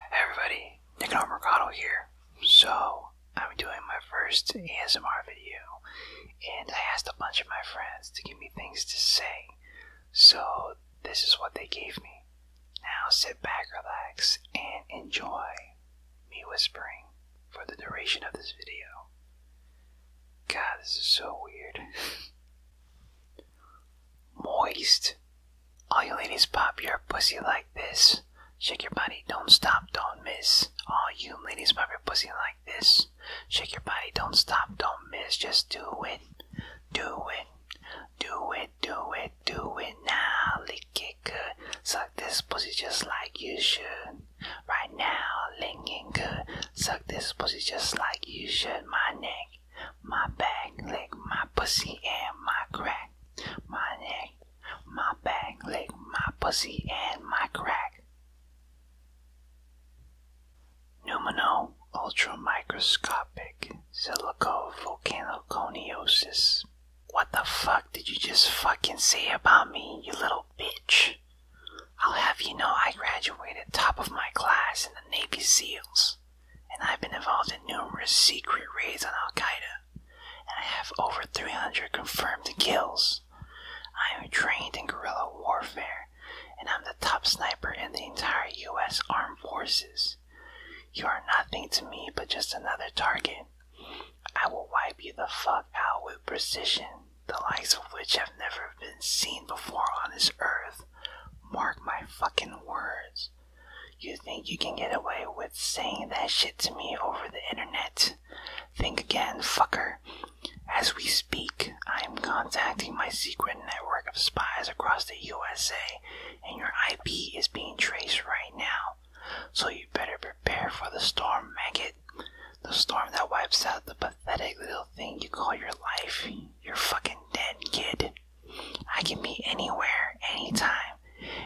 Hey everybody, Nick Nicanor Mercado here. So, I'm doing my first ASMR video, and I asked a bunch of my friends to give me things to say. So, this is what they gave me. Now sit back, relax, and enjoy me whispering for the duration of this video. God, this is so weird. Moist. All you ladies pop your pussy like this. Shake your body, don't stop, don't miss. All you ladies pop your pussy like this. Shake your body, don't stop, don't miss. Just do it, do it, do it, do it, do it now. Lick it good. Suck this pussy just like you should. Right now, licking good. Suck this pussy just like you should. My neck my back, leg, my pussy, and my crack. My neck, my back, leg, my pussy, and my crack. Numino ultramicroscopic silicovolcanoconiosis. What the fuck did you just fucking say about me, you little bitch? I'll have you know I graduated top of my class in the Navy SEALs and I've been involved in numerous secret raids on Al Qaeda, and I have over 300 confirmed kills. I am trained in guerrilla warfare, and I'm the top sniper in the entire US Armed Forces. You are nothing to me but just another target. I will wipe you the fuck out with precision, the likes of which have never been seen before on this earth. Mark my fucking words. You think you can get away with saying that shit to me over the internet? Think again, fucker. As we speak, I am contacting my secret network of spies across the USA, and your IP is being traced right now. So you better prepare for the storm, maggot. The storm that wipes out the pathetic little thing you call your life. You're fucking dead, kid. I can be anywhere, anytime,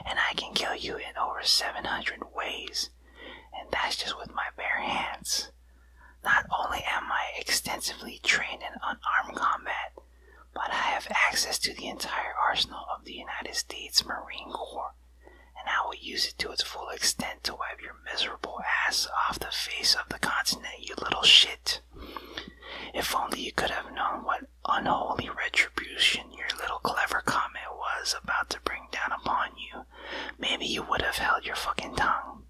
and I can kill you in over 700 ways. And that's just with my bare hands. Not only am I extensively trained in unarmed combat, but I have access to the entire arsenal of the United States Marine Corps, and I will use it to its full extent to wipe your miserable ass off the face of the continent, you little shit. If only you could have known what unholy retribution your little clever comment was about to bring down upon you, maybe you would have held your fucking tongue.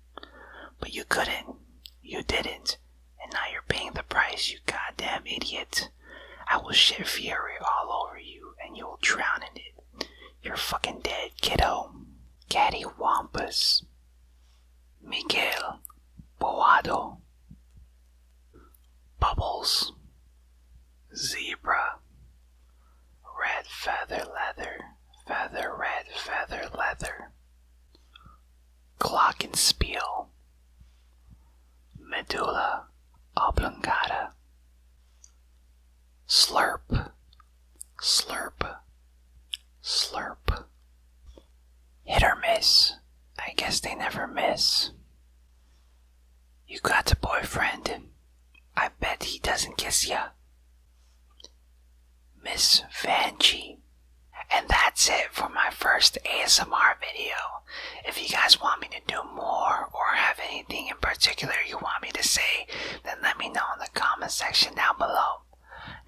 But you couldn't. You didn't. And now you're paying the price, you goddamn idiot. I will shed fury all over you, and you will drown in it. You're fucking dead, kiddo. Catty Miguel Boado, Bubbles, Zebra, Red Feather Leather, Feather Red Feather Leather, Glockenspiel, Medulla oblongata, slurp, slurp, slurp. Hit or miss. I guess they never miss. You got a boyfriend. I bet he doesn't kiss ya. Miss Vanjie. And that's it for my first ASMR video. If you guys want me to do more or have anything in particular you want me to say, then let me know in the comment section down below.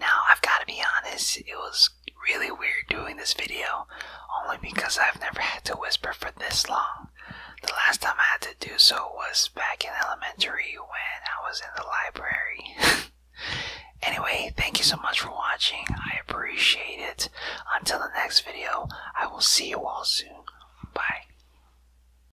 Now, I've got to be honest, it was really weird doing this video, only because I've never had to whisper for this long. The last time I had to do so was back in elementary when I was in the library. anyway, thank you so much for watching. I appreciate it. Until the next video, I will see you all soon. Bye.